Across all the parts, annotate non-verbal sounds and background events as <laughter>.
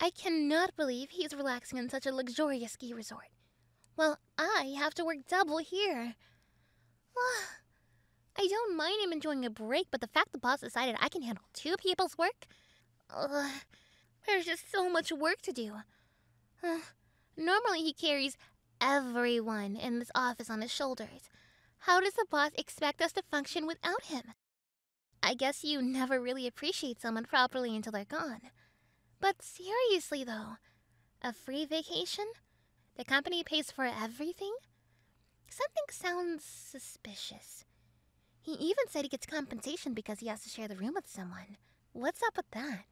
I cannot believe he is relaxing in such a luxurious ski resort, while I have to work double here. Ah, I don't mind him enjoying a break, but the fact the boss decided I can handle two people's work? Ugh, there's just so much work to do. Uh, normally, he carries everyone in this office on his shoulders, how does the boss expect us to function without him? I guess you never really appreciate someone properly until they're gone. But seriously, though, a free vacation? The company pays for everything? Something sounds suspicious. He even said he gets compensation because he has to share the room with someone. What's up with that?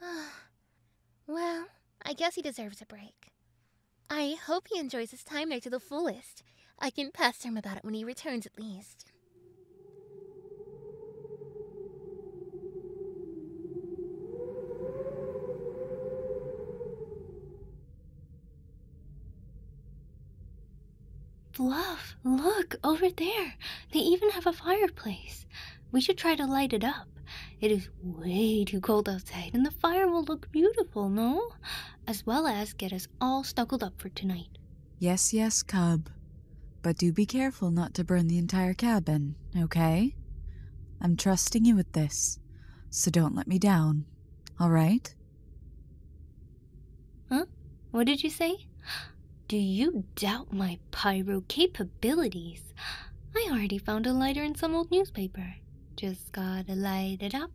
<sighs> well, I guess he deserves a break. I hope he enjoys his time there to the fullest. I can pester him about it when he returns, at least. Bluff, look, over there. They even have a fireplace. We should try to light it up. It is way too cold outside, and the fire will look beautiful, no? as well as get us all snuggled up for tonight. Yes, yes, cub. But do be careful not to burn the entire cabin, okay? I'm trusting you with this, so don't let me down, alright? Huh? What did you say? Do you doubt my pyro capabilities? I already found a lighter in some old newspaper. Just gotta light it up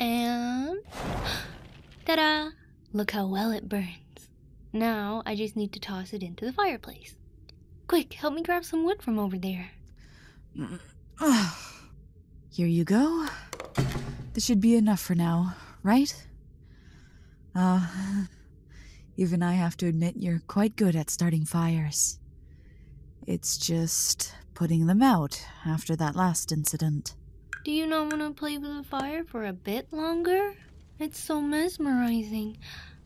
and. <gasps> Ta da! Look how well it burns. Now I just need to toss it into the fireplace. Quick, help me grab some wood from over there. <sighs> Here you go. This should be enough for now, right? Ah, <sighs> even I have to admit you're quite good at starting fires. It's just putting them out after that last incident. Do you not want to play with the fire for a bit longer? It's so mesmerizing.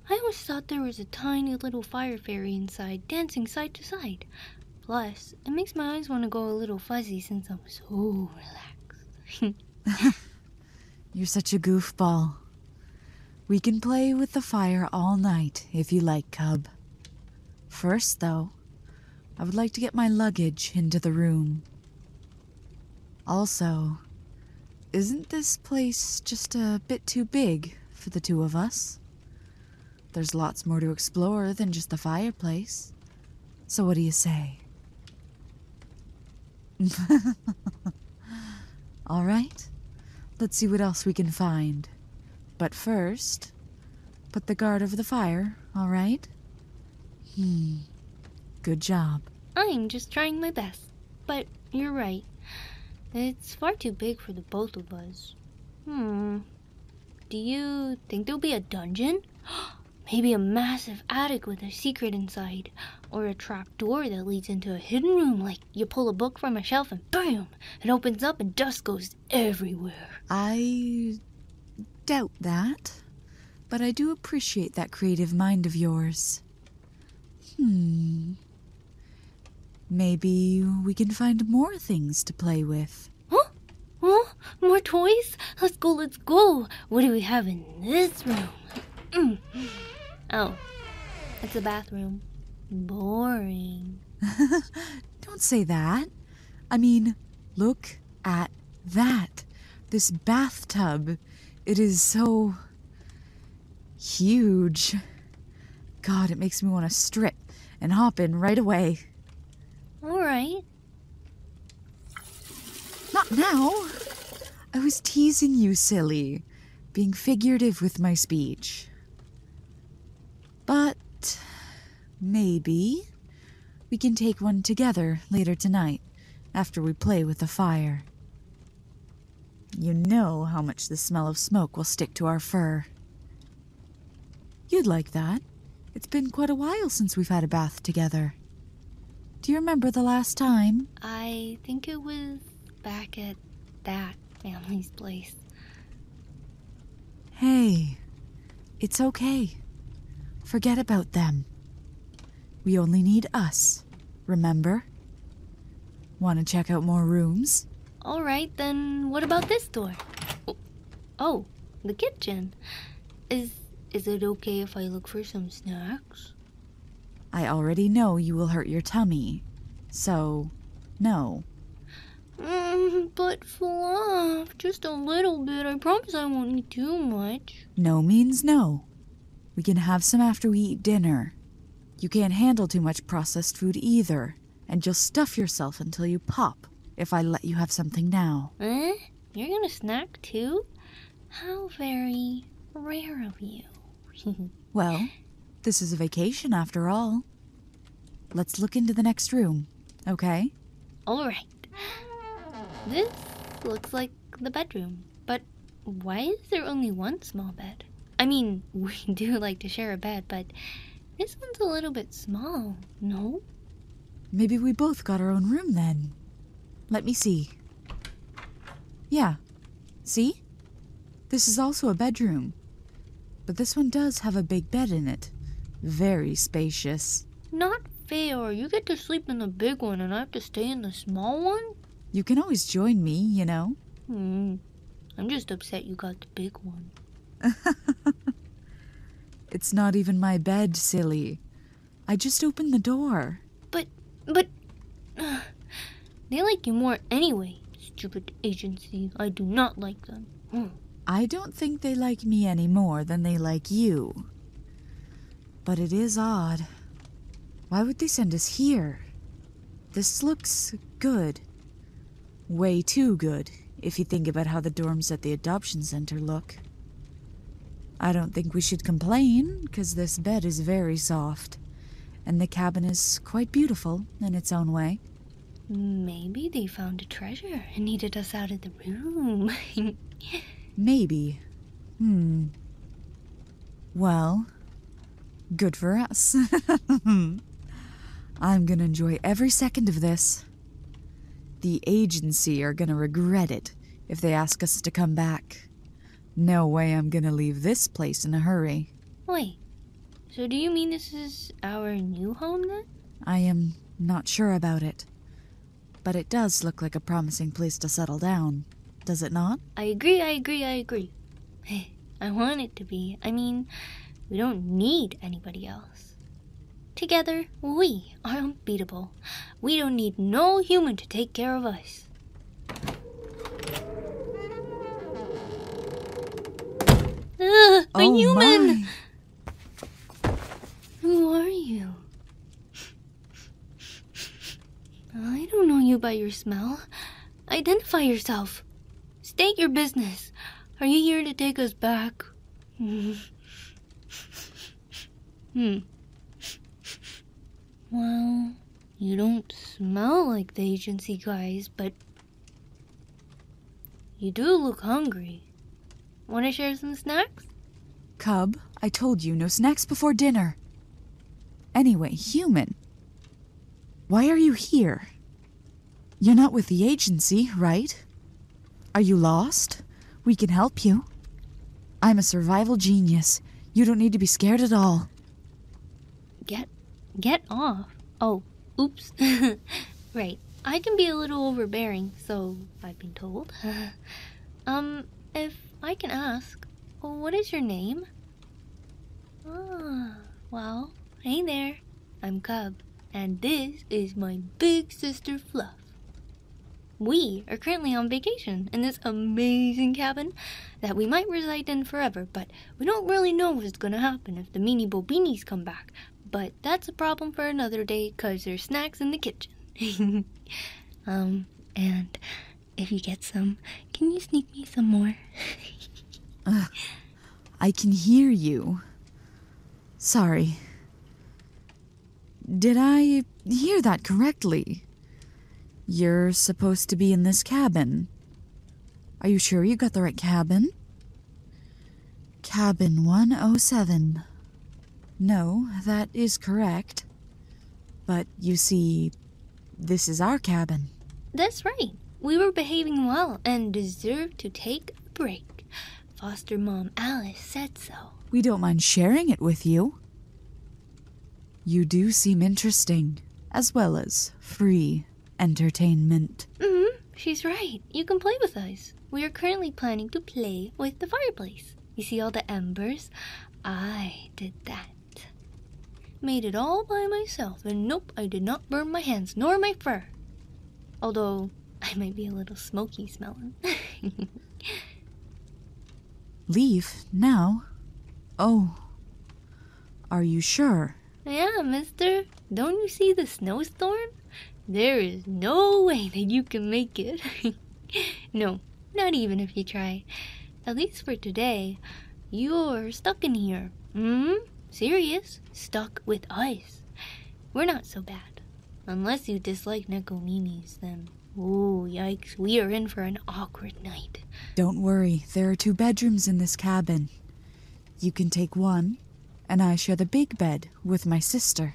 I always thought there was a tiny little fire fairy inside, dancing side to side. Plus, it makes my eyes want to go a little fuzzy since I'm so relaxed. <laughs> You're such a goofball. We can play with the fire all night if you like, Cub. First, though, I would like to get my luggage into the room. Also, isn't this place just a bit too big for the two of us? There's lots more to explore than just the fireplace. So, what do you say? <laughs> All right, let's see what else we can find. But first, Please. Put the guard over the fire, all right? Hmm. Good job. I'm just trying my best. But you're right. It's far too big for the both of us. Hmm. Do you think there'll be a dungeon? <gasps> Maybe a massive attic with a secret inside, or a trap door that leads into a hidden room like you pull a book from a shelf and BAM! It opens up and dust goes everywhere. I doubt that, but I do appreciate that creative mind of yours. Hmm. Maybe we can find more things to play with. Huh? Huh? More toys? Let's go, let's go. What do we have in this room? Mm. Oh, it's a bathroom. Boring. <laughs> Don't say that. I mean, look at that. This bathtub. It is so huge. God, it makes me want to strip and hop in right away. All right. Not now. I was teasing you, silly, being figurative with my speech. But maybe we can take one together later tonight after we play with the fire. You know how much the smell of smoke will stick to our fur. You'd like that. It's been quite a while since we've had a bath together. Do you remember the last time? I think it was back at that family's place. Hey, it's okay. Forget about them. We only need us, remember? Want to check out more rooms? Alright, then what about this door? Oh, oh, the kitchen. Is, is it okay if I look for some snacks? I already know you will hurt your tummy, so no. Mm, but fluff, just a little bit. I promise I won't eat too much. No means no. We can have some after we eat dinner. You can't handle too much processed food either, and you'll stuff yourself until you pop if I let you have something now. Eh? You're gonna snack too? How very rare of you. <laughs> well, this is a vacation after all. Let's look into the next room, okay? Alright. This looks like the bedroom, but why is there only one small bed? I mean, <laughs> we do like to share a bed, but this one's a little bit small, no? Maybe we both got our own room then. Let me see. Yeah. See? This is also a bedroom. But this one does have a big bed in it. Very spacious. Not fair. You get to sleep in the big one and I have to stay in the small one? You can always join me, you know. Hmm. I'm just upset you got the big one. <laughs> it's not even my bed, silly. I just opened the door. But, but. <sighs> they like you more anyway, stupid agency. I do not like them. <gasps> I don't think they like me any more than they like you. But it is odd. Why would they send us here? This looks good. Way too good, if you think about how the dorms at the adoption center look. I don't think we should complain, because this bed is very soft, and the cabin is quite beautiful in its own way. Maybe they found a treasure and needed us out of the room. <laughs> Maybe. Hmm. Well, good for us. <laughs> I'm gonna enjoy every second of this. The agency are gonna regret it if they ask us to come back. No way I'm gonna leave this place in a hurry. Wait, so, do you mean this is our new home then? I am not sure about it. But it does look like a promising place to settle down, does it not? I agree, I agree, I agree. Hey, <sighs> I want it to be. I mean, we don't need anybody else. Together, we are unbeatable. We don't need no human to take care of us a oh, human! Who are you? I don't know you by your smell. Identify yourself. State your business. Are you here to take us back? Hmm. hmm. Well, you don't smell like the agency guys, but you do look hungry. Want to share some snacks? Cub, I told you no snacks before dinner. Anyway, human. Why are you here? You're not with the agency, right? Are you lost? We can help you. I'm a survival genius. You don't need to be scared at all. Get get off. Oh, oops. <laughs> right. I can be a little overbearing, so I've been told. <laughs> um, if I can ask, what is your name? Ah, well, hey there. I'm Cub, and this is my big sister Fluff. We are currently on vacation in this amazing cabin that we might reside in forever, but we don't really know what's gonna happen if the meanie bobinis come back. But that's a problem for another day because there's snacks in the kitchen. <laughs> Um, and if you get some, can you sneak me some more? <laughs> I can hear you. Sorry. Did I hear that correctly? You're supposed to be in this cabin. Are you sure you got the right cabin? Cabin 107. No, that is correct. But you see, this is our cabin. That's right. We were behaving well and deserved to take a break. Foster mom Alice said so. We don't mind sharing it with you. You do seem interesting, as well as free entertainment. Mm-hmm. She's right. You can play with us. We are currently planning to play with the fireplace. You see all the embers? I did that. Made it all by myself, and nope, I did not burn my hands nor my fur. Although, I might be a little smoky smelling. <laughs> Leave now? Oh. Are you sure? Yeah, Mister. Don't you see the snowstorm? There is no way that you can make it. <laughs> no, not even if you try. At least for today, you're stuck in here. Hmm? Serious? Stuck with ice? We're not so bad. Unless you dislike Nekominis, then. Oh, yikes, we are in for an awkward night. Don't worry, there are two bedrooms in this cabin. You can take one, and I share the big bed with my sister.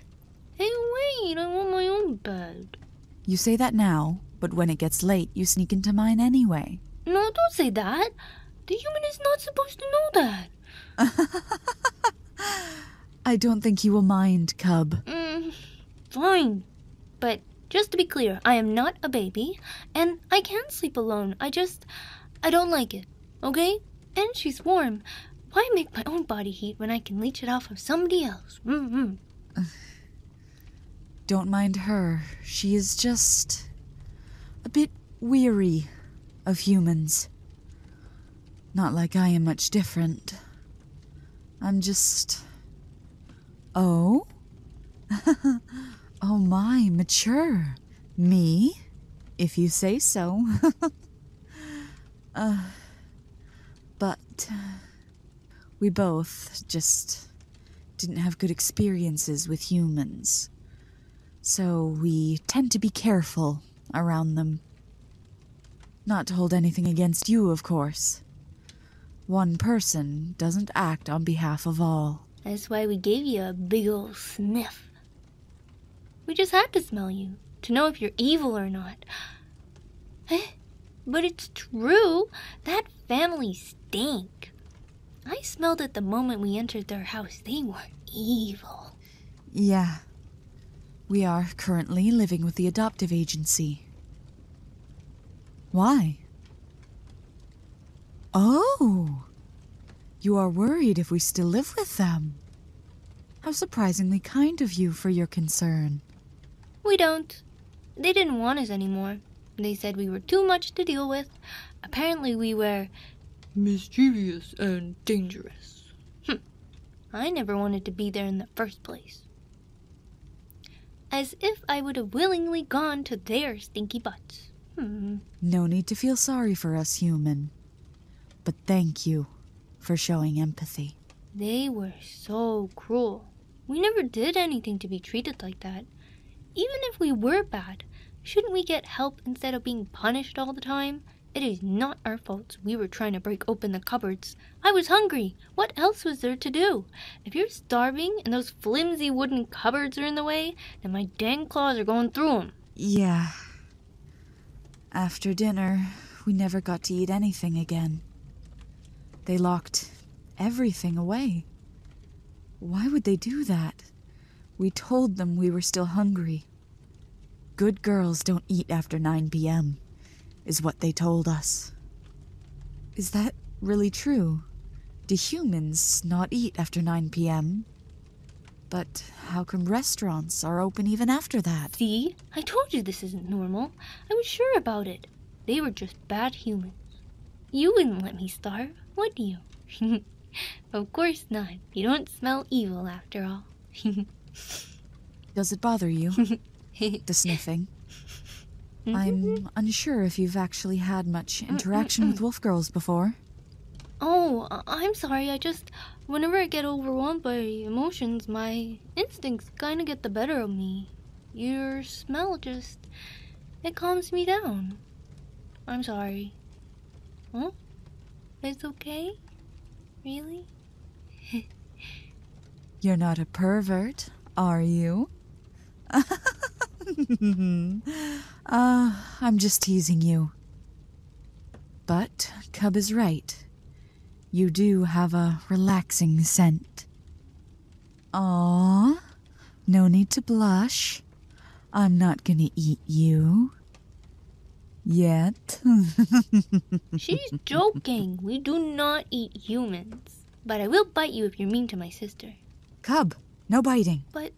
Hey, wait, I want my own bed. You say that now, but when it gets late, you sneak into mine anyway. No, don't say that. The human is not supposed to know that. <laughs> I don't think he will mind, Cub. Mm, fine. But just to be clear, I am not a baby, and I can sleep alone. I just. I don't like it. Okay? And she's warm. Why make my own body heat when I can leech it off of somebody else? Mm-hmm. <sighs> Don't mind her. She is just a bit weary of humans. Not like I am much different. I'm just. Oh? <laughs> oh my, mature. Me? If you say so. <laughs> Uh, but uh, we both just didn't have good experiences with humans. So we tend to be careful around them. Not to hold anything against you, of course. One person doesn't act on behalf of all. That's why we gave you a big old sniff. We just had to smell you to know if you're evil or not. <gasps> Eh, but it's true. That family stink. I smelled it the moment we entered their house. They were evil. Yeah. We are currently living with the adoptive agency. Why? Oh! You are worried if we still live with them. How surprisingly kind of you for your concern. We don't. They didn't want us any more. They said we were too much to deal with. Apparently, we were mischievous and dangerous. Hmm. I never wanted to be there in the first place. As if I would have willingly gone to their stinky butts. No need to feel sorry for us, human. But thank you for showing empathy. They were so cruel. We never did anything to be treated like that. Even if we were bad, shouldn't we get help instead of being punished all the time? It is not our fault we were trying to break open the cupboards. I was hungry. What else was there to do? If you're starving and those flimsy wooden cupboards are in the way, then my dang claws are going through 'em. Yeah. After dinner, we never got to eat anything again. They locked everything away. Why would they do that? We told them we were still hungry. Good girls don't eat after 9 p.m., is what they told us. Is that really true? Do humans not eat after 9 p.m.? But how come restaurants are open even after that? See? I told you this isn't normal. I was sure about it. They were just bad humans. You wouldn't let me starve, would you? <laughs> of course not. You don't smell evil after all. <laughs> Does it bother you? <laughs> the sniffing? Mm-hmm. I'm unsure if you've actually had much interaction with wolf girls before. Oh, I'm sorry. I just. Whenever I get overwhelmed by emotions, my instincts kinda get the better of me. Your smell just. It calms me down. I'm sorry. Huh? It's okay? Really? <laughs> You're not a pervert, are you? <laughs> uh, I'm just teasing you. But Cub is right. You do have a relaxing scent. Ah, no need to blush. I'm not gonna eat you. Yet. <laughs> She's joking. We do not eat humans. But I will bite you if you're mean to my sister. Cub, no biting. But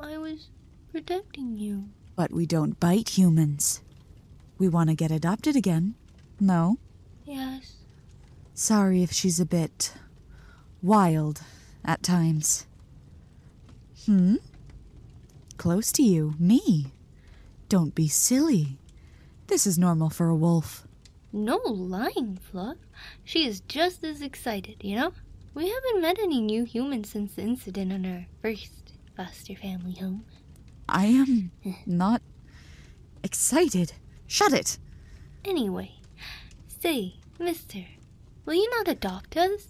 I was protecting you. But we don't bite humans. We want to get adopted again. No? Yes. Sorry if she's a bit wild at times. Hmm? Close to you, me. Don't be silly. This is normal for a wolf. No lying, Fluff. She is just as excited, you know? We haven't met any new humans since the incident on our first foster family home. I am not excited. Shut it! Anyway, say, mister, will you not adopt us?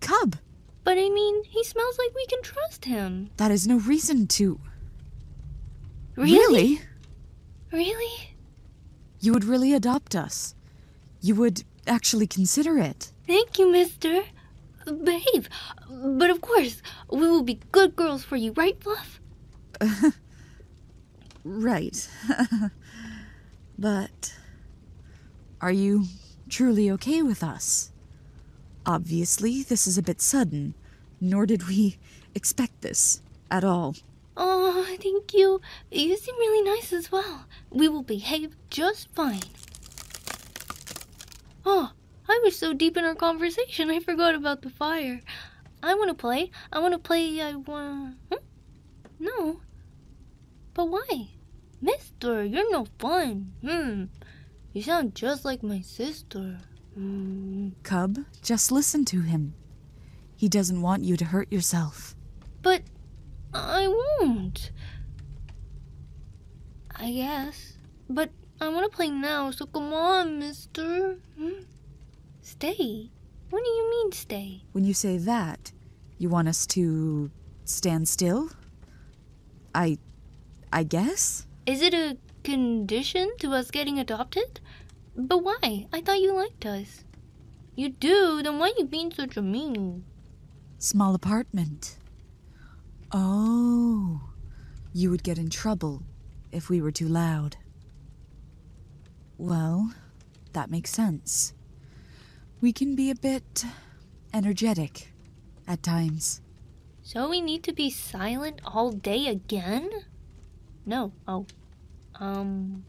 Cub! But I mean, he smells like we can trust him. That is no reason to. Really? Really? You would really adopt us you would actually consider it. Thank you, mister. Behave. But of course, we will be good girls for you, right, Fluff? <laughs> right. <laughs> but are you truly okay with us? Obviously, this is a bit sudden, nor did we expect this at all. Oh, thank you. You seem really nice as well. We will behave just fine. Oh, I was so deep in our conversation, I forgot about the fire. I want to play. I want to play. I uh, want. Hmm? No. But why? Mister, you're no fun. Hmm. You sound just like my sister. Mm. Cub, just listen to him. He doesn't want you to hurt yourself. But I won't. I guess. But I want to play now, so come on, mister. Hmm? Stay? What do you mean, stay? When you say that, you want us to stand still? I. I guess? Is it a condition to us getting adopted? But why? I thought you liked us. You do? Then why you being such a mean? Small apartment. Oh, you would get in trouble if we were too loud. Well, that makes sense. We can be a bit energetic at times. So we need to be silent all day again? No. Oh. Um,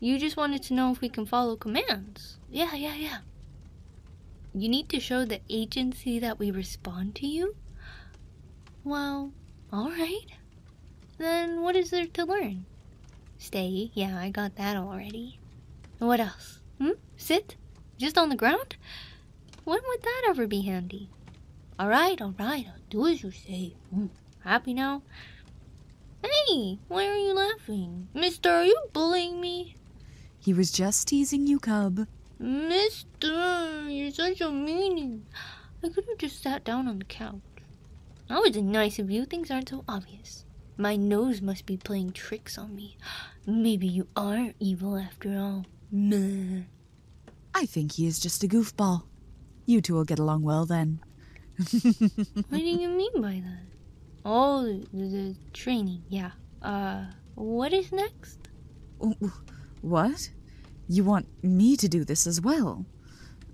you just wanted to know if we can follow commands. Yeah, yeah, yeah. You need to show the agency that we respond to you? Well, alright. Then what is there to learn? Stay, yeah, I got that already. what else? Hmm? Sit? Just on the ground? When would that ever be handy? Alright, alright, I'll do as you say. Hmm. Happy now? Hey, why are you laughing? Mister, are you bullying me? He was just teasing you, Cub. Mister, you're such a meanie. I could have just sat down on the couch. That was nice of you. Things aren't so obvious. My nose must be playing tricks on me. <gasps> Maybe you are evil after all. Meh. I think he is just a goofball. You two will get along well then what do you mean by that? Oh, the, the training, yeah. Uh, what is next? Oh, what? You want me to do this as well?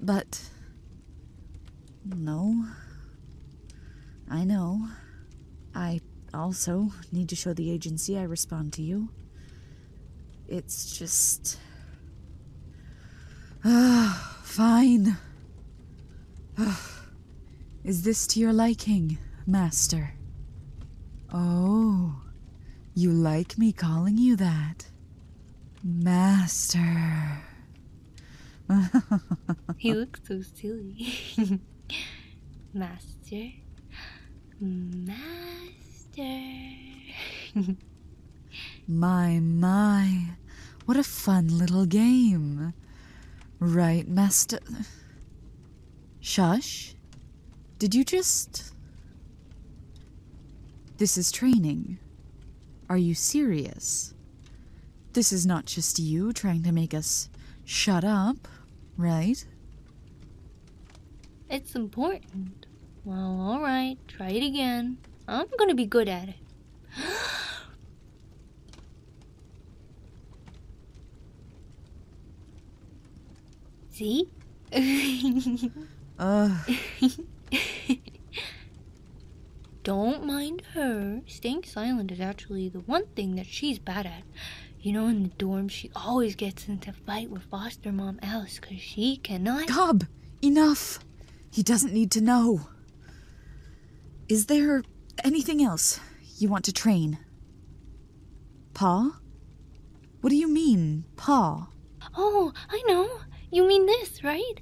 But. No. I know. I also need to show the agency I respond to you. It's just. Ah, fine. Ah, is this to your liking, Master? Oh, you like me calling you that? Master. <laughs> he looks so silly. <laughs> Master. Master. <laughs> My, my, what a fun little game. Right, Master. Shush. Did you just. This is training. Are you serious? This is not just you trying to make us shut up, right? It's important. Well, alright, try it again. I'm gonna be good at it. <gasps> See? uh. <sighs> Don't mind her. Staying silent is actually the one thing that she's bad at. You know, in the dorm, she always gets into fight with foster mom Alice because she cannot. Cobb! Enough! He doesn't need to know. Is there anything else you want to train? Pa? What do you mean, Pa? Oh, I know. You mean this, right?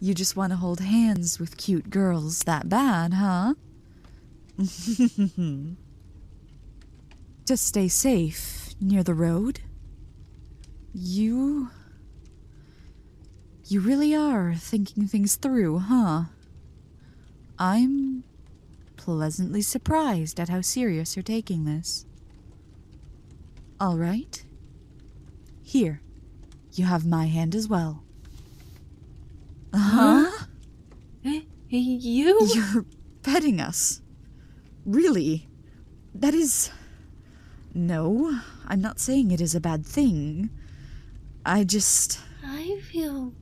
You just want to hold hands with cute girls that bad, huh? <laughs> just stay safe near the road. You you really are thinking things through, huh? I'm pleasantly surprised at how serious you're taking this. All right. Here, you have my hand as well. Huh? huh? You? You're petting us. Really? That is no, I'm not saying it is a bad thing. I just. I feel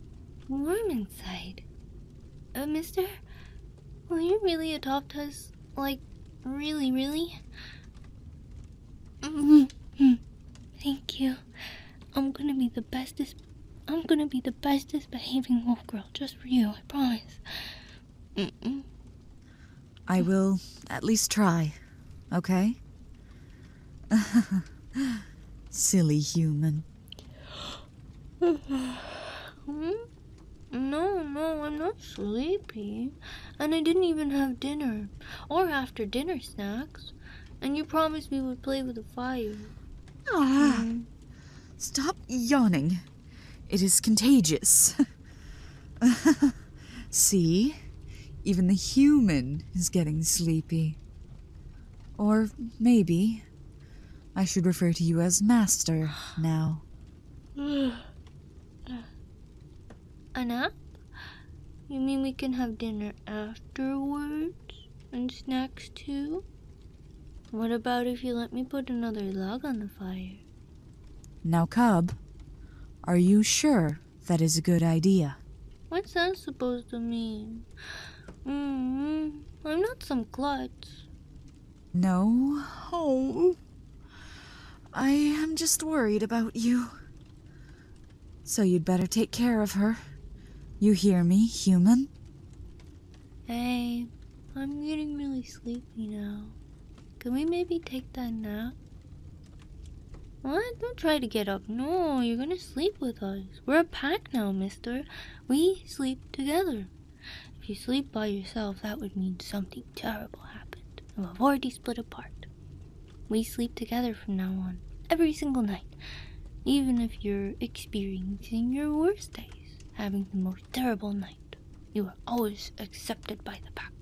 warm inside. Uh, mister, will you really adopt us? Like, really, really? <laughs> Thank you. I'm gonna be the bestest. I'm gonna be the bestest behaving wolf girl just for you, I promise. I will at least try, okay? <laughs> Silly human. <gasps> No, no, I'm not sleepy. And I didn't even have dinner or after dinner snacks. And you promised we would play with the fire. Ah, Stop yawning. It is contagious. <laughs> <laughs> See? Even the human is getting sleepy. Or maybe I should refer to you as Master now. <gasps> Anna, You mean we can have dinner afterwards? And snacks too? What about if you let me put another log on the fire? Now, Cub, are you sure that is a good idea? What's that supposed to mean? Mm-hmm. I'm not some klutz. No. Oh. I am just worried about you. So you'd better take care of her. You hear me, human? Hey, I'm getting really sleepy you know. Can we maybe take that nap? What? Don't try to get up. No, you're gonna sleep with us. We're a pack now, mister. We sleep together. If you sleep by yourself, that would mean something terrible happened. And we've already split apart. We sleep together from now on, every single night. Even if you're experiencing your worst days, having the most terrible night. You are always accepted by the pack.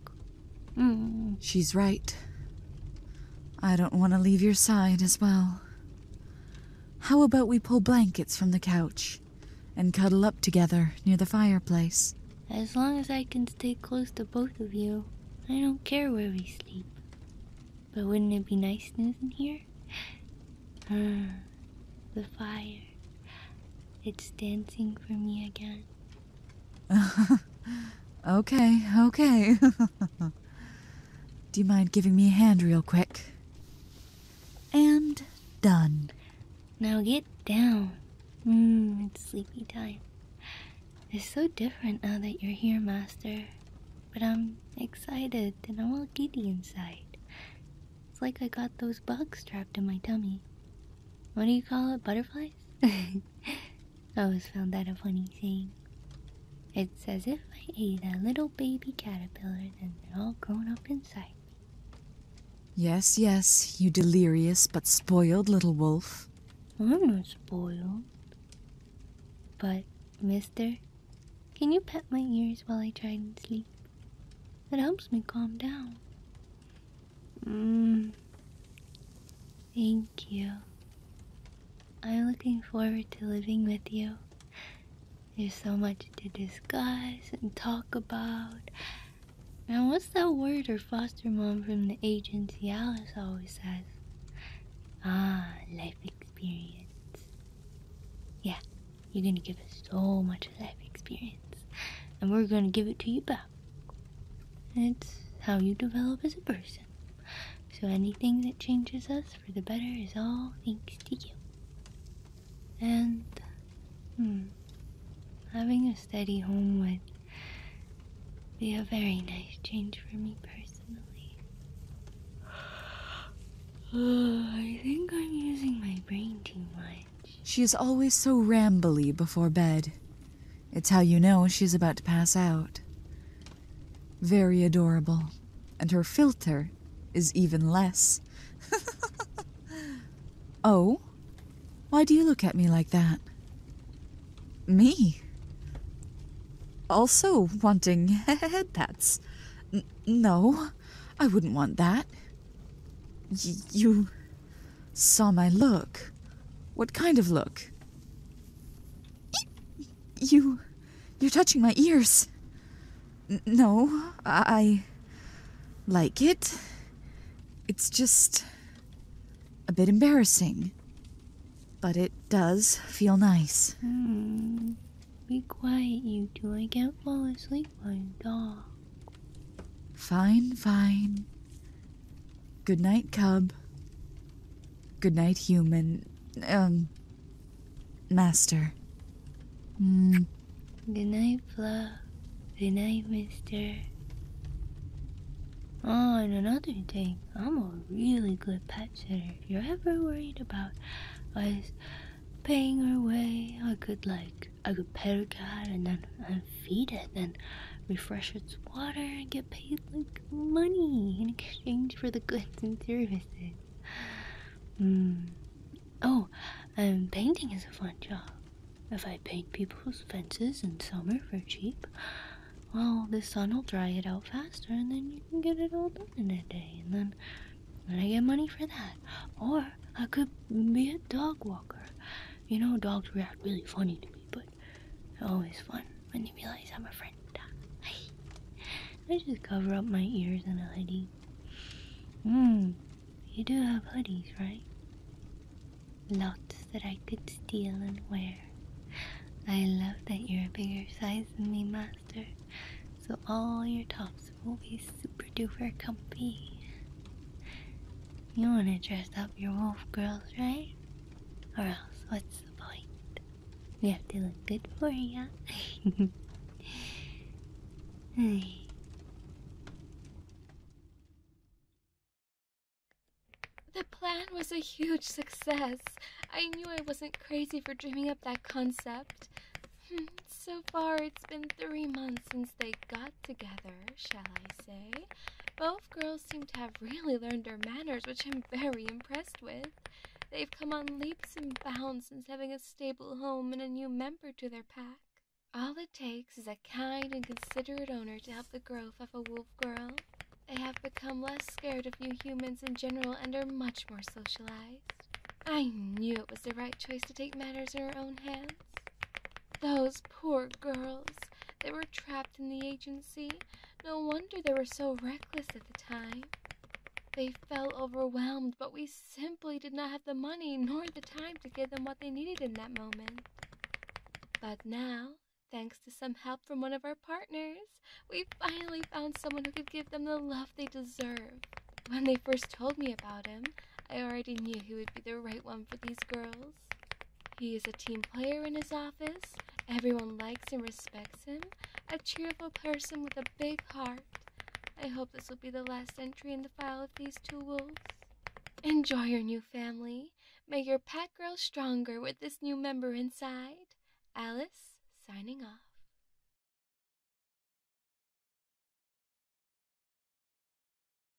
Hmm. She's right. I don't want to leave your side as well. How about we pull blankets from the couch and cuddle up together near the fireplace? As long as I can stay close to both of you, I don't care where we sleep. But wouldn't it be nice snoozing here? <sighs> the fire. It's dancing for me again. <laughs> okay, okay. <laughs> Do you mind giving me a hand real quick? And done. Now get down. Mm, it's sleepy time. It's so different now that you're here, Master. But I'm excited and I'm all giddy inside. It's like I got those bugs trapped in my tummy. What do you call it? Butterflies? <laughs> I always found that a funny thing. It's as if I ate a little baby caterpillar and they're all grown up inside me. Yes, yes, you delirious but spoiled little wolf. I'm not spoiled. But, mister, can you pet my ears while I try and sleep? It helps me calm down. Mm. Thank you. I'm looking forward to living with you. There's so much to discuss and talk about. And what's that word her foster mom from the agency Alice always says? Ah, life experience. Yeah, you're gonna give us so much life experience. And we're gonna give it to you back. It's how you develop as a person. So anything that changes us for the better is all thanks to you. And, hmm, having a steady home would be a very nice change for me personally. <sighs> I think I'm using my brain too much. She is always so rambly before bed. It's how you know she's about to pass out. Very adorable. And her filter is even less. <laughs> oh? Why do you look at me like that? Me? Also wanting <laughs> head no, I wouldn't want that. you Saw my look. What kind of look? You. You're touching my ears. no, I. like it. It's just. a bit embarrassing. But it does feel nice. Hmm, be quiet, you two. I can't fall asleep like a dog. Fine, fine. Good night, cub. Good night, human. Um, master. Mm. Good night, Fluff. Good night, mister. Oh, and another thing, I'm a really good pet sitter. If you're ever worried about us paying our way, I could, like, I could pet a cat and then feed it and refresh its water and get paid like money in exchange for the goods and services. Mm. Oh, um, painting is a fun job. If I paint people's fences in summer for cheap, well, the sun will dry it out faster and then you can get it all done in a day. And then, then I get money for that. Or I could be a dog walker. You know, dogs react really funny to me, but always fun when you realize I'm a friend. <laughs> I just cover up my ears in a hoodie. Hmm, you do have hoodies, right? Lots that I could steal and wear. I love that you're a bigger size than me, Master, so all your tops will be super duper comfy. You want to dress up your wolf girls, right? Or else, what's the point? We have to look good for you. <laughs> <sighs> The plan was a huge success. I knew I wasn't crazy for dreaming up that concept. Hmm, so far, it's been three months since they got together, shall I say. Both girls seem to have really learned their manners, which I'm very impressed with. They've come on leaps and bounds since having a stable home and a new member to their pack. All it takes is a kind and considerate owner to help the growth of a wolf girl. They have become less scared of new humans in general and are much more socialized. I knew it was the right choice to take matters in her own hands. Those poor girls. They were trapped in the agency. No wonder they were so reckless at the time. They felt overwhelmed, but we simply did not have the money nor the time to give them what they needed in that moment. But now, thanks to some help from one of our partners, we finally found someone who could give them the love they deserve. When they first told me about him, I already knew he would be the right one for these girls. He is a team player in his office. Everyone likes and respects him. A cheerful person with a big heart. I hope this will be the last entry in the file of these two wolves. Enjoy your new family. May your pet grow stronger with this new member inside. Alice, signing off.